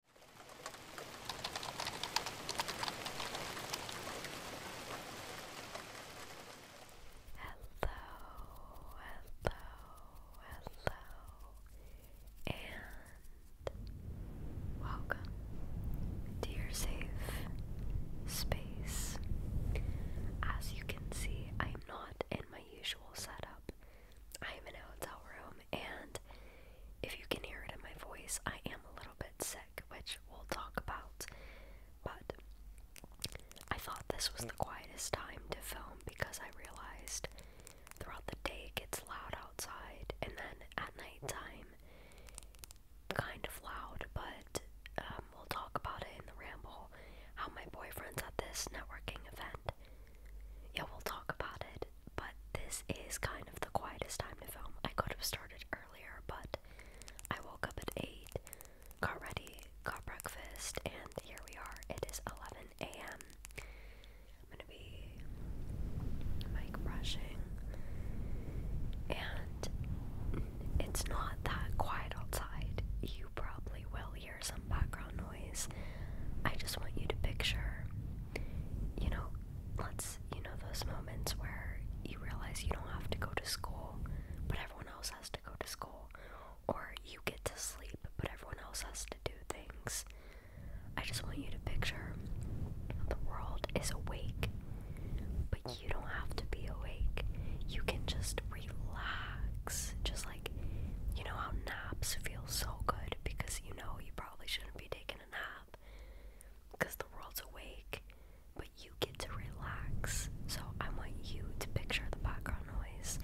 Hello, hello, hello, and welcome to safe space. As you can see, I'm not in my usual setup. I'm in an hotel room and if you can hear it in my voice, I am a little bit sick, which we'll talk about. But I thought this was the quietest time to film because I realized throughout the day it gets loud outside, and then at nighttime, kind of loud. But um, we'll talk about it in the ramble how my boyfriend's at this networking event. Yeah, we'll talk about it but this is kind of the quietest time to film. I could have started earlier, but I woke up at 8, got ready, got breakfast, and here we are. It is 11 a.m. I'm gonna be mic brushing, and it's not that quiet outside. You probably will hear some background noise. I just want you to picture, you know, let's, you know, those moments where you realize you don't have to go to school, but everyone else has to go to school, or you get to sleep, but everyone else has to do things. I just want you to picture the world is awake, but you don't have to be awake. You can just relax. Just like, you know, how naps feel so good because you know you probably shouldn't be taking a nap the world's awake, but you get to relax. So I want you to picture the background noise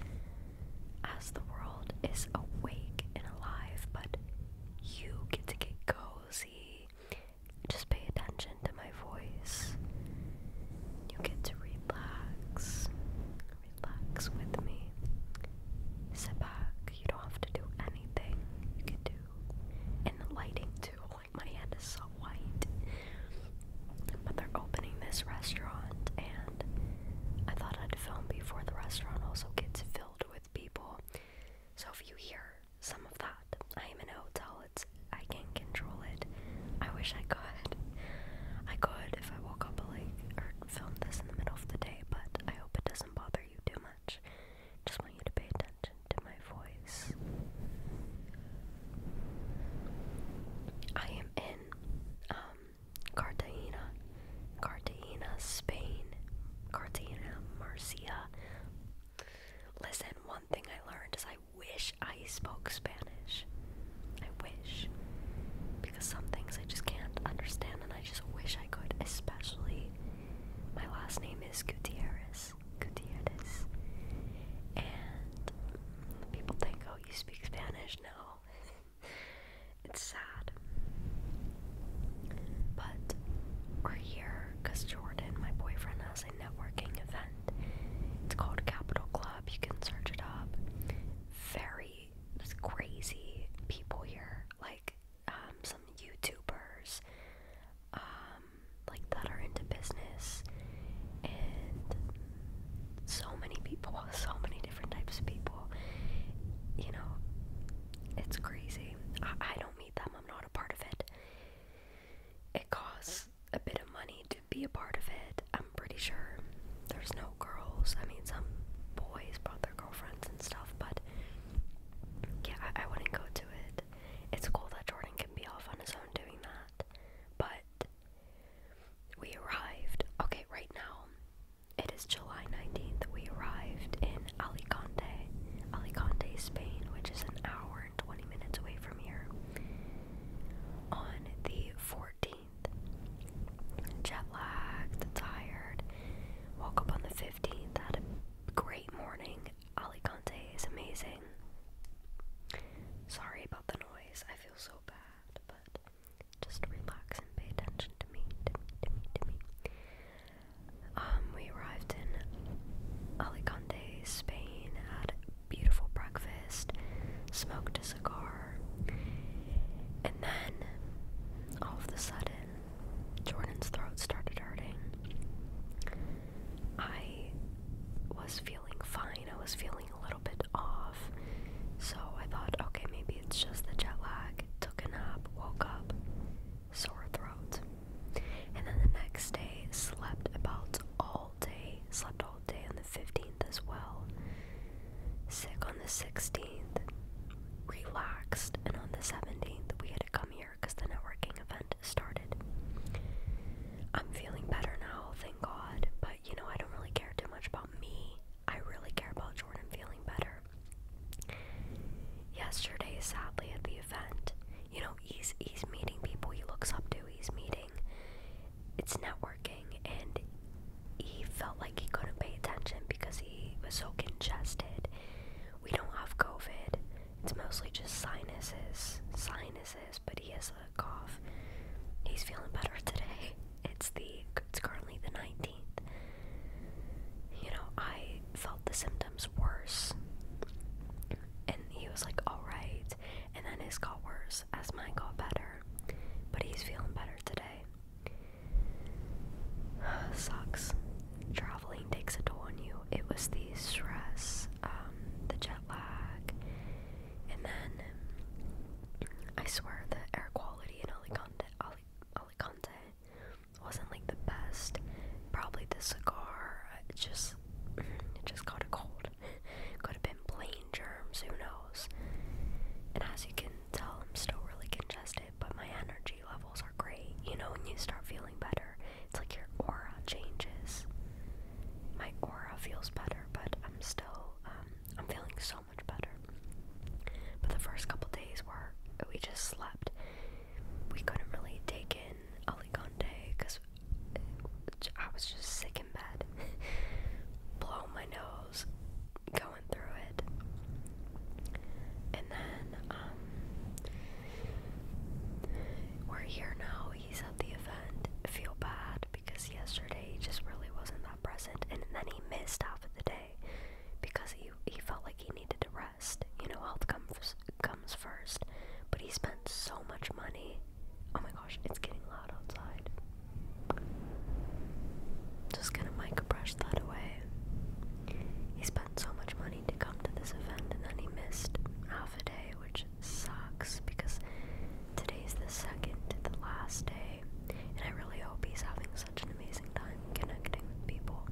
as the world is awake and alive, but you get to get cozy. Just pay attention to my voice. You get to relax relax with me. Sit back. You don't have to do anything. You can do. And the lighting, too. my hand is so white. But they're opening this restaurant, and I thought I'd film before the restaurant also gets filled with people. So if you hear some of that, I am in a hotel. It's I can't control it. I wish I could. I could if I woke up at or film this in the middle of the day, but I hope it doesn't bother you too much. Just want you to pay attention to my voice. I am in um, Cartagena, Spain, Cartagena, Murcia. Listen, one thing I learned is I wish I spoke Spanish. I wish because some things I just can't understand and I just wish I could, especially my last name is Gutierrez. Gutierrez. And people think, oh, you speak Spanish? No. it's sad. But we're here because Jordan, my boyfriend, has a networking event. It's called Capital Club. You can search it up. Very it's crazy people here, like um, some YouTubers, um, like that are into business, and so many people, so many different types of people. You know, it's crazy. I, don't meet them. I'm not a part of it. It costs a bit of money to be a part of it. I'm pretty sure there's no girls. I mean, some boys, but girlfriends and stuff, but yeah, I, wouldn't go to it. It's cool that Jordan can be off on his own doing that, but we arrived. Okay, right now it is July 19th. We arrived in Alicante, Alicante, Spain, which is an hour and 20 minutes away from here. On the 14th 14th. Jet lagged, tired. Woke up on the 15th, had a great morning. Alicante is amazing. Sorry about the noise, I feel so bad, but just relax and pay attention to me, to me, to me, to me. Um, we arrived in Alicante, Spain, had a beautiful breakfast, smoked a cigar, and then, all of a sudden, Jordan's throat started hurting. I was feeling fine, I was feeling a little bit off. So I thought, okay, maybe it's just the jet lag. Took a nap, woke up, sore throat. And then the next day, slept about all day, slept all day on the 15th as well sick on the 16th, relaxed, and on the 17th, we had to come here because the networking event started. I'm feeling better now, thank God, but you know, I don't really care too much about me. I really care about Jordan feeling better. Yesterday, sadly, at the event, you know, he's he's meeting people he looks up to. He's meeting. It's networking and he felt like he couldn't pay attention because he was so congested. We don't have COVID. It's mostly just sinuses, sinuses, but he has a cough. He's feeling better today. It's the it's currently the 19th. You know, I felt the symptoms worse. And he was like, "All right." And then his got worse as mine got better. But he's feeling better today. Sucks. Traveling takes a toll on you. It was the stress, um, the jet lag, and then I swear the air quality in Alicante, Alic Alicante wasn't like the best. Probably the cigar it just it just got a cold. Could have been plain germs, who knows? And as you can so I'm still really congested, but my energy levels are great. You know, when you start feeling better, it's like your aura changes. My aura feels better, but I'm still, um, I'm feeling so much better. But the first couple days were, we just slept. We couldn't really take in day because I was just sick in bed. Blow my nose, go going through it. And then, um, we're here now. He's at the event. Feel bad because yesterday he just really wasn't that present. And then he missed half of the day because he, he felt like he needed to rest. You know, health comes, comes first. But he spent so much money. Oh my gosh, it's getting loud outside. Just gonna microbrush that away. He spent so much money to come to this event and then he missed half a day, which sucks because today's the second the last day, and I really hope he's having such an amazing time connecting with people.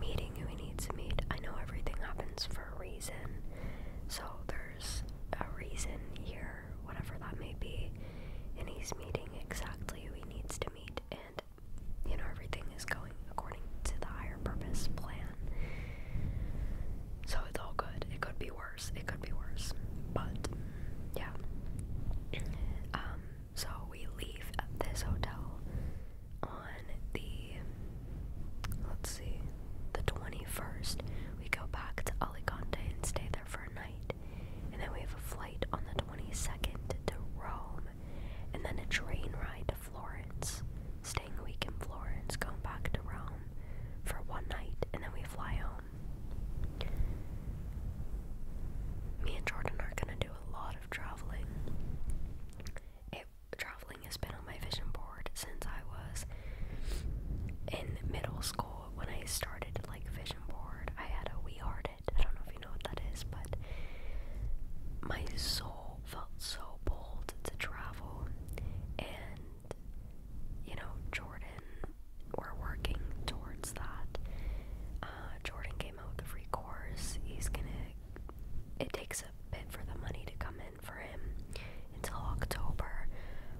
Meeting who he needs to meet. I know everything happens for a reason, so there's a reason here whatever that may be, and he's meeting exactly who he needs to meet, and you know, everything is going according to the higher purpose plan. So it's all good. It could be worse. It could be worse. But yeah. Um, so we leave this hotel on the let's see, the twenty first. We go back to Alicante and stay there for a night, and then we have a flight on the 22nd to Rome, and then a train ride to Florence, staying a week in Florence, going back to Rome for one night, and then we fly home. Me and Jordan are gonna do a lot of traveling. traveling has been on my vision board since I was in middle school when I started like vision board, I had a we hearted. I don't know if you know what that is, but my soul felt so bold to travel and you know, Jordan we're working towards that. Uh, Jordan came out with a free course. He's gonna it takes a bit for the money to come in for him until October,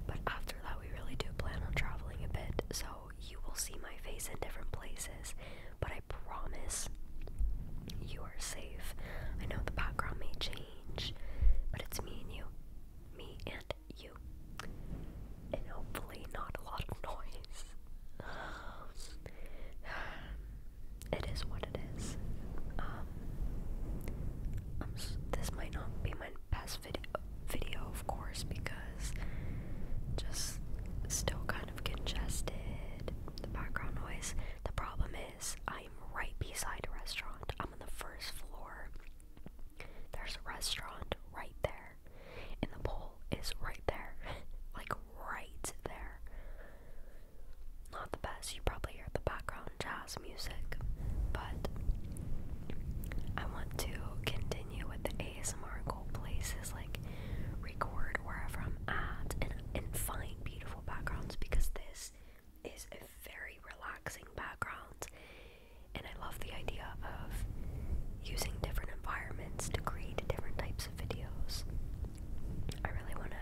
but after that, we really do plan on traveling a bit, so you will see my face in different places. But I promise you are safe. I know the background may change, but it's me and you. Me and you. And hopefully, not a lot of noise. It is what it is. Um, this might not be my as video, video of course, because just still kind of congested, the background noise. The problem is, I'm right beside a restaurant. I'm on the first floor. There's a restaurant right there, and the pool is right there. like, right there. Not the best. You probably hear the background jazz music, but I want to continue with the ASMR goal places like record wherever I'm at and, and find beautiful backgrounds because this is a very relaxing background and I love the idea of using different environments to create different types of videos. I really want to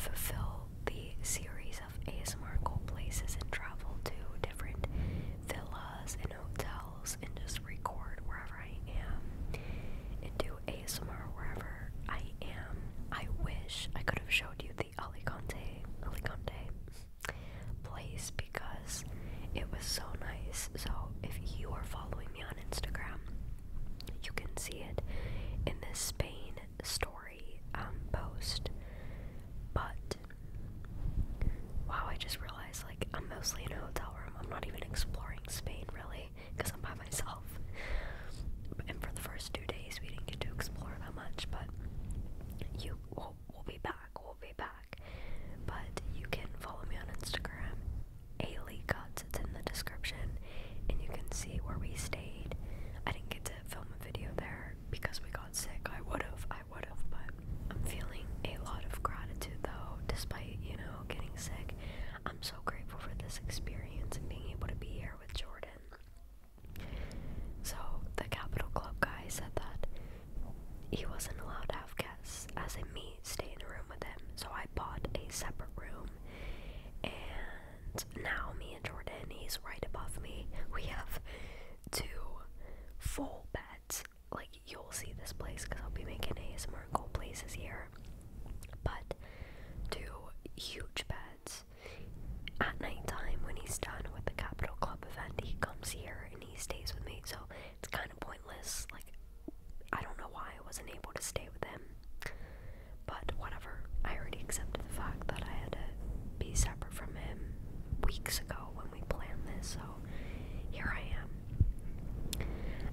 fulfill the series of ASMR goal places and travel to different villas and hotels and just record wherever I am and do ASMR wherever I am. I wish I could have showed you the Alicante Alicante place because it was so nice. So if you are following me on Instagram, you can see it in this Spain story um, post. But Wow, I just realized like I'm mostly in a hotel room. I'm not even exploring Spain really because I'm by myself. And for the first two days, we didn't get to explore that much, but you we'll be back. We'll be back. But you can follow me on Instagram, Ailey It's in the description, and you can see where we stayed. I didn't get to film a video there because we got sick. I would have, I would have, but I'm feeling a lot of gratitude though, despite, you know, getting sick. I'm so grateful for this experience and being able to be here with Jordan. So, the Capital Club guy said that he wasn't allowed to have guests, as in meet stay in a room with him. So, I bought a separate room, and now me and Jordan, he's right above me. We have Two full beds. Like you'll see this place because I'll be making more cool places here. But to huge beds. At nighttime when he's done with the Capital Club event, he comes here and he stays with me. So it's kind of pointless. Like I don't know why I wasn't able to stay with him. But whatever. I already accepted the fact that I had to be separate from him weeks ago when we planned this, so here I am.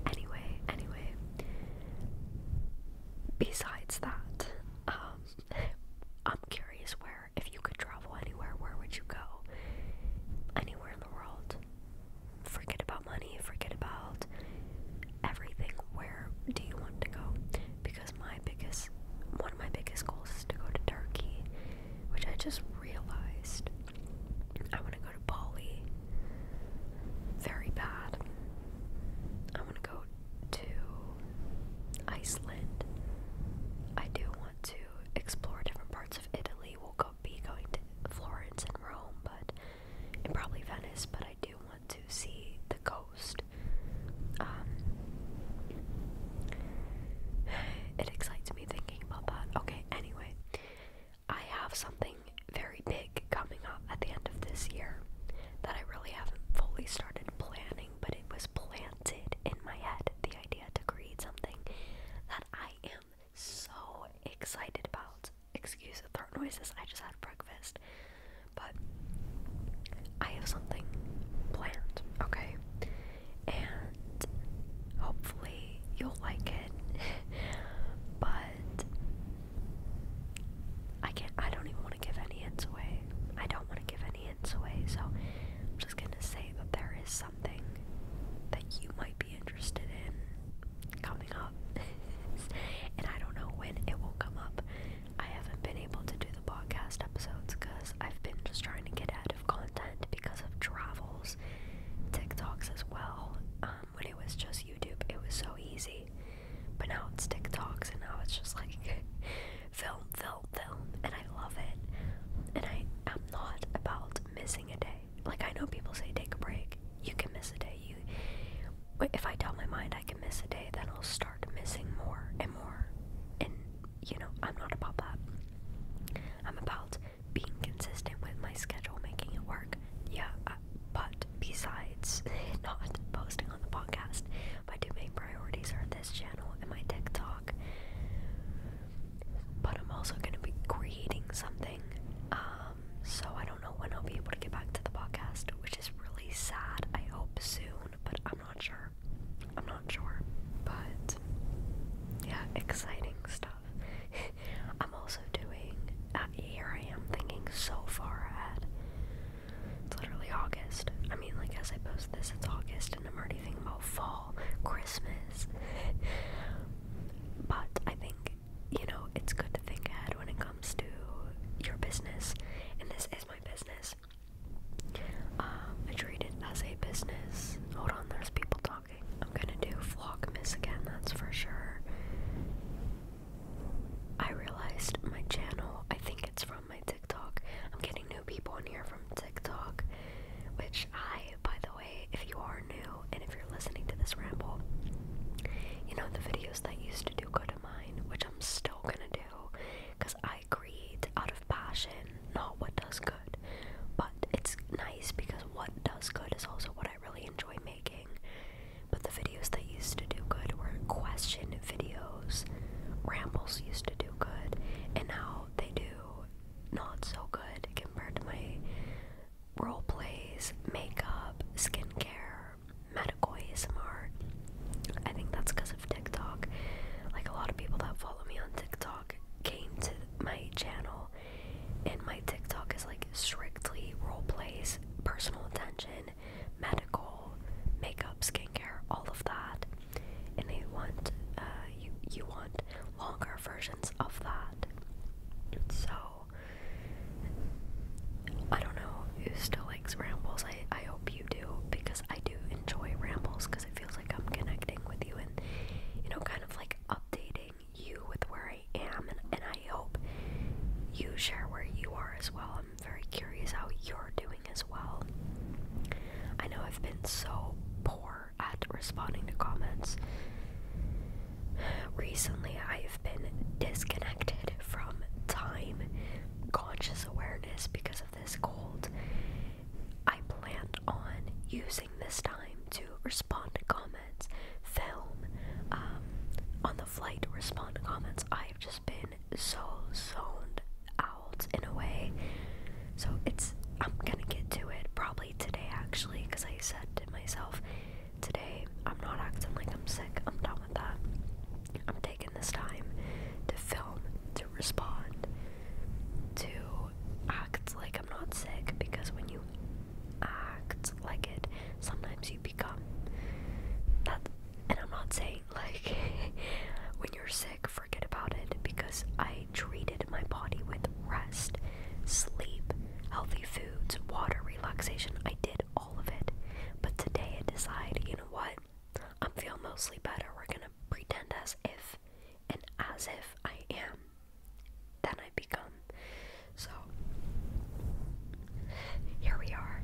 Anyway, anyway, besides that, um, I'm curious where, if you could travel anywhere, where would you go? Anywhere in the world. Forget about money, forget about everything. Where do you want to go? because my biggest one of my biggest goals is to go to Turkey, which I just realized I want to go to Bali very bad. I want to go to Iceland. I do want to explore different parts of Italy. We'll go be going to Florence and Rome, but and probably Venice, but I do want to see the coast um, it excites me thinking about that. Okay, anyway, I have something very big coming up at the end of this year that I really haven't fully started planning, but it was planted in my head the idea to create something that I am so excited about. Excuse the throat noises, I just had breakfast. But I have something planned, okay? And hopefully you'll like it. but I can't I don't even want to give any hints away. I don't want to give any hints away, so I'm just gonna say that there is something that you might be interested in coming up. and I don't know when it will come up. I haven't been able to do the podcast episodes because I've been just trying to get out of content because of travels, TikToks as well. Um, when it was just YouTube, it was so easy, but now it's TikToks, and now it's just like film, film, film, and I love it. And I am not about missing a day. Like I know people say take a break. You can miss a day. You, if I tell my mind I can miss a day, then I'll start missing more and more. And, you know, I'm not about that. I'm about being consistent with my schedule, making it work. Yeah, uh, but besides not posting on the podcast, my two main priorities are this channel and my TikTok. But I'm also going to be creating something. Um, so I don't know when I'll be able to get back to the podcast, which is really sad. I hope soon, but I'm not sure. I'm not sure, but yeah, exciting stuff. I'm also doing. Uh, here I am thinking so far ahead. It's literally August. I mean, like as I post this, it's August, and I'm already thinking about fall, Christmas. but I think you know it's good to think ahead when it comes to your business, and this is my business. Um, I treat it as a business. Hold on, there's people talking. I'm gonna do Vlogmas again, that's for sure. I realized my channel, I think it's from my TikTok. I'm getting new people in here from TikTok, which I, by the way, if you are new and if you're listening to this ramble, you know the videos that used to do go to mine, which I'm still gonna do because I by out of passion, not what does good. But it's nice because what does good is also what I really enjoy making. But the videos that used to do good were question videos. Rambles used to do good, and now they do not so good compared to my role plays, makeup, skincare, medical ASMR. I think that's because of TikTok. Like a lot of people that follow me on TikTok came to my channel, and my TikTok is like strictly role plays, personal attention, medical, makeup, skincare, all of that. And they want uh, you you want longer versions of that. So I don't know who still likes rambles. I I hope you do because I do enjoy rambles because it feels like I'm connecting with you and you know kind of like updating you with where I am and and I hope you share where you are as well. I'm very curious how you're doing as well. I know I've been so poor at responding to comments. Recently, I've been disconnected from time conscious awareness because of this cold. I plan on using this time to respond to comments, film, um, on the flight respond to comments. I have just been so zoned out in a way. So it's, I'm gonna get to it probably today actually, because I said to myself, today I'm not acting like I'm sick, I'm done with that. I'm taking this time to film, to respond, to act like I'm not sick because when you act like it, sometimes you become that. And I'm not saying like when you're sick, forget about it because I treated my body with rest, sleep, healthy foods, water, relaxation. I did all of it. But today I decide, you know what? I'm feeling mostly better. We're gonna pretend as if and as if I am. Then I become. So here we are.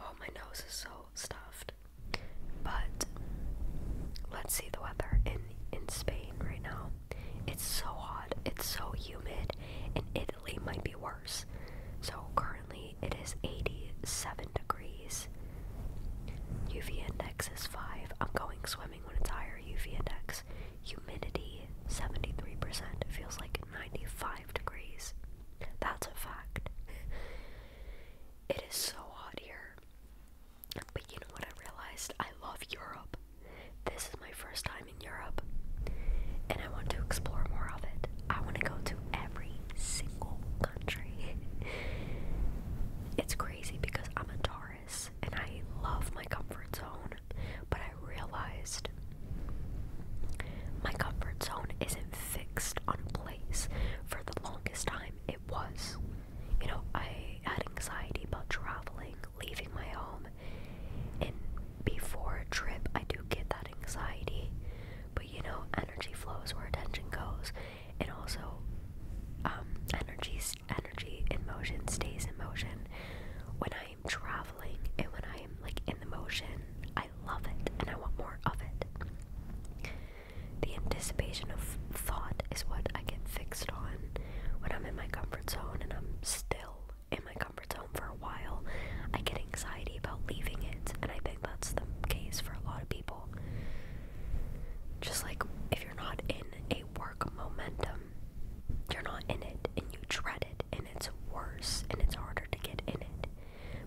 Oh my nose is so stuffed. But let's see the weather in in Spain right now. It's so hot, it's so humid, In Italy might be worse. So currently it is 87 degrees. UV index is 5. I'm going swimming when it's higher UV index. Humidity 73%. It feels like 95 degrees. That's a fact. It is so hot here. But you know what I realized? I love Europe. This is my first time in Europe. I want to explore more of it. I want to go to every single country. it's crazy because I'm a Taurus and I love my comfort zone, but I realized my comfort zone isn't fixed on a place. For the longest time, it was. You know, I had anxiety about traveling, leaving my home, and before a trip, I do get that anxiety. But you know, energy flows where attention goes, and also, um, energy energy in motion stays in motion. When I am traveling and when I am like in the motion, I love it and I want more of it. The anticipation of thought is what I get fixed on when I'm in my comfort zone and I'm still in my comfort for a while, I get anxiety about leaving it, and I think that's the case for a lot of people. Just like if you're not in a work momentum, you're not in it and you dread it, and it's worse and it's harder to get in it.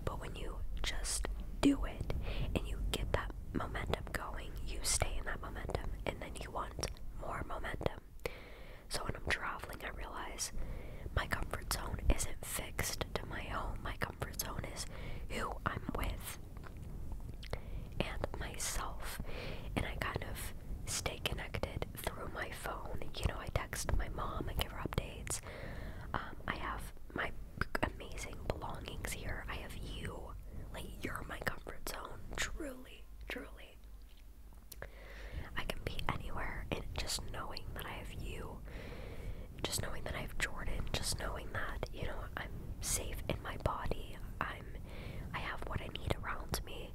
But when you just do it and you get that momentum going, you stay in that momentum, and then you want more momentum. So when I'm traveling, I realize my comfort zone isn't fixed to my home. My comfort zone is who I'm with and myself. And I kind of stay connected through my phone. You know, I text my mom, I give her updates. Um, I have my amazing belongings here. I have you. Like, you're my comfort zone. Truly, truly. I can be anywhere and just knowing that I have you, just knowing that I have Jordan, just knowing that, you know, I'm safe in my body, I'm I have what I need around me.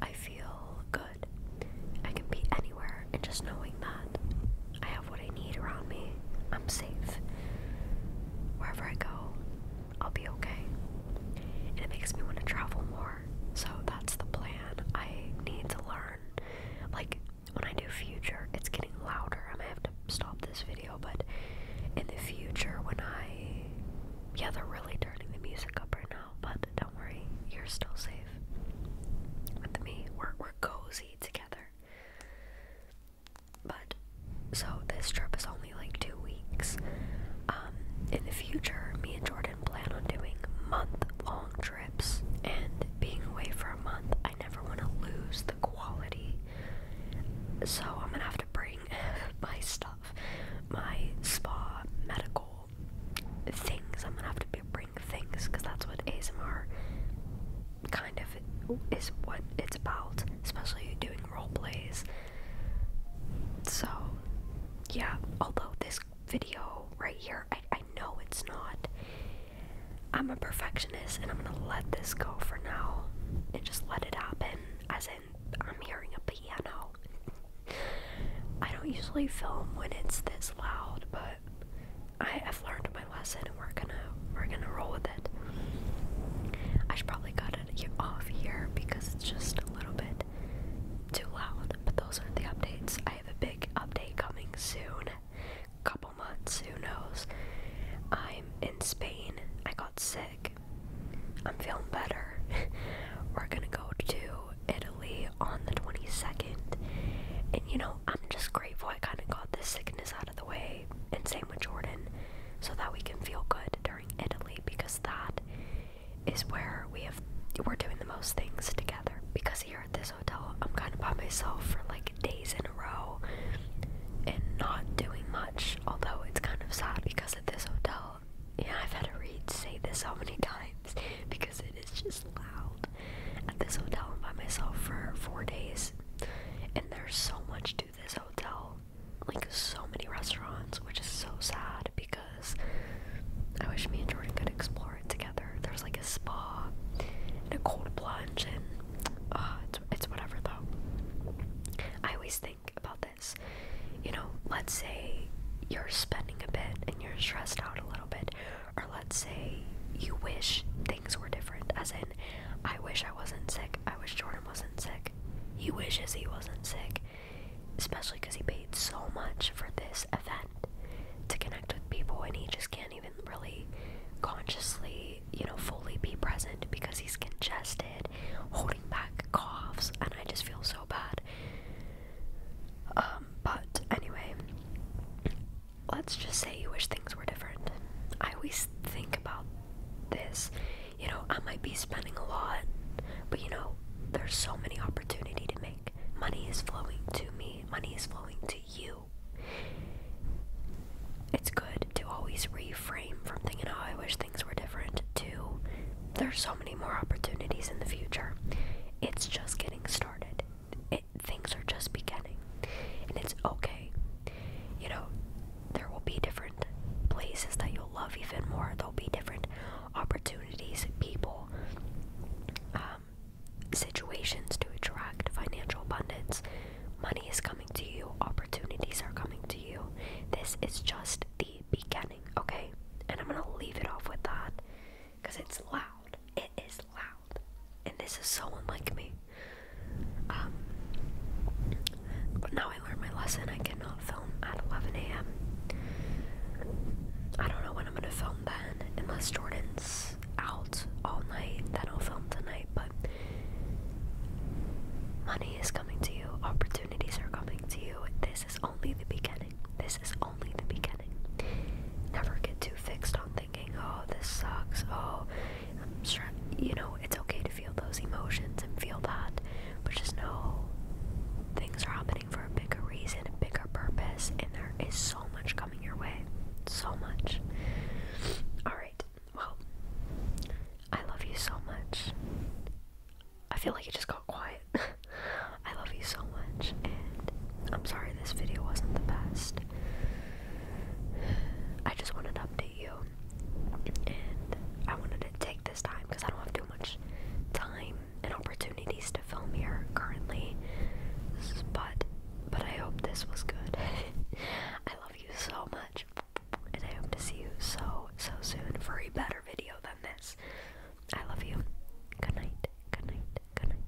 I feel good. I can be anywhere and just knowing that I have what I need around me. I'm safe. Wherever I go, I'll be okay. And it makes me want to travel more. So that's the plan. I need to learn like when I do future, it's getting louder. I may have to stop this video, but in the future, when I. Yeah, they're really turning the music up right now, but don't worry, you're still safe. With me, we're, we're cozy together. But, so this trip is only like two weeks. Um, in the future, me and Jordan plan on doing month long trips and being away for a month, I never want to lose the quality. So I'm gonna have to bring my stuff, my spa, medical things. I'm gonna have to bring things because that's what ASMR kind of is what it's about, especially doing role plays. So, yeah, although this video right here. I, I know it's not. I'm a perfectionist and I'm gonna let this go for now and just let it happen as in I'm hearing a piano. I don't usually film when it's this loud, but I have learned my lesson and we're gonna we're gonna roll with it. I should probably cut it off here because it's just a little bit too loud. But those are the updates I have a big update coming soon. Couple months, who knows? I'm in Spain. I got sick. I'm feeling better. We're gonna go to Italy on the 22nd. And you know, I'm just grateful I kind of got this sickness out of the way. And same with Jordan, so that we can feel good during Italy because that is where we have we're doing the most things together because here at this hotel I'm kind of by myself for like days in a row and not doing much although it's kind of sad because at this hotel yeah I've had to read say this so many times because it is just loud at this hotel i by myself for four days and there's so much to this hotel like so many restaurants which is so sad because I wish me and Jordan could explore it together. There's like a spa and a cold plunge, and uh, it's, it's whatever though. I always think about this. You know, let's say you're spending a bit and you're stressed out a little bit, or let's say you wish things were different, as in, I wish I wasn't sick, I wish Jordan wasn't sick, he wishes he wasn't sick especially because he paid so much for this event to connect with people and he just can't even really consciously you know fully be present because he's congested holding back coughs and i just feel so bad um, but anyway let's just say you wish things were different i always think about this you know i might be spending a lot but you know there's so many opportunity to make money is flowing to me, money is flowing to you. It's good to always reframe from thinking, oh, I wish things were different, to there's so many more opportunities in the future. It's just getting started. things are just beginning. And it's okay. You know, there will be different places that you'll love even more. There'll be different opportunities, people, um, situations to attract financial abundance. Money is coming to you, opportunities are coming to you. This is just the beginning, okay? And I'm gonna leave it off with that because it's loud. It is loud. And this is so unlike me. but um, now I learned my lesson. I cannot film at 11 a.m. I don't know I'm gonna film then, unless Jordan's out all night, then I'll film tonight. But money is coming to you, opportunities are coming to you. This is only the beginning. This is only the beginning. Never get too fixed on thinking, oh, this sucks. Oh, I'm sure, you know, it's okay to feel those emotions and feel that, but just know things are happening for a bigger reason, a bigger purpose, and there is so much coming your way. So much. Alright, well, I love you so much. I feel like it just got quiet. I love you so much, and I'm sorry this video wasn't the best. I just wanted to update you, and I wanted to take this time because I don't have too much time and opportunities to film here currently. But but I hope this was good. I love you so much, and I hope to see you so so soon for a better video than this. I love you. Good night. Good night. Good night.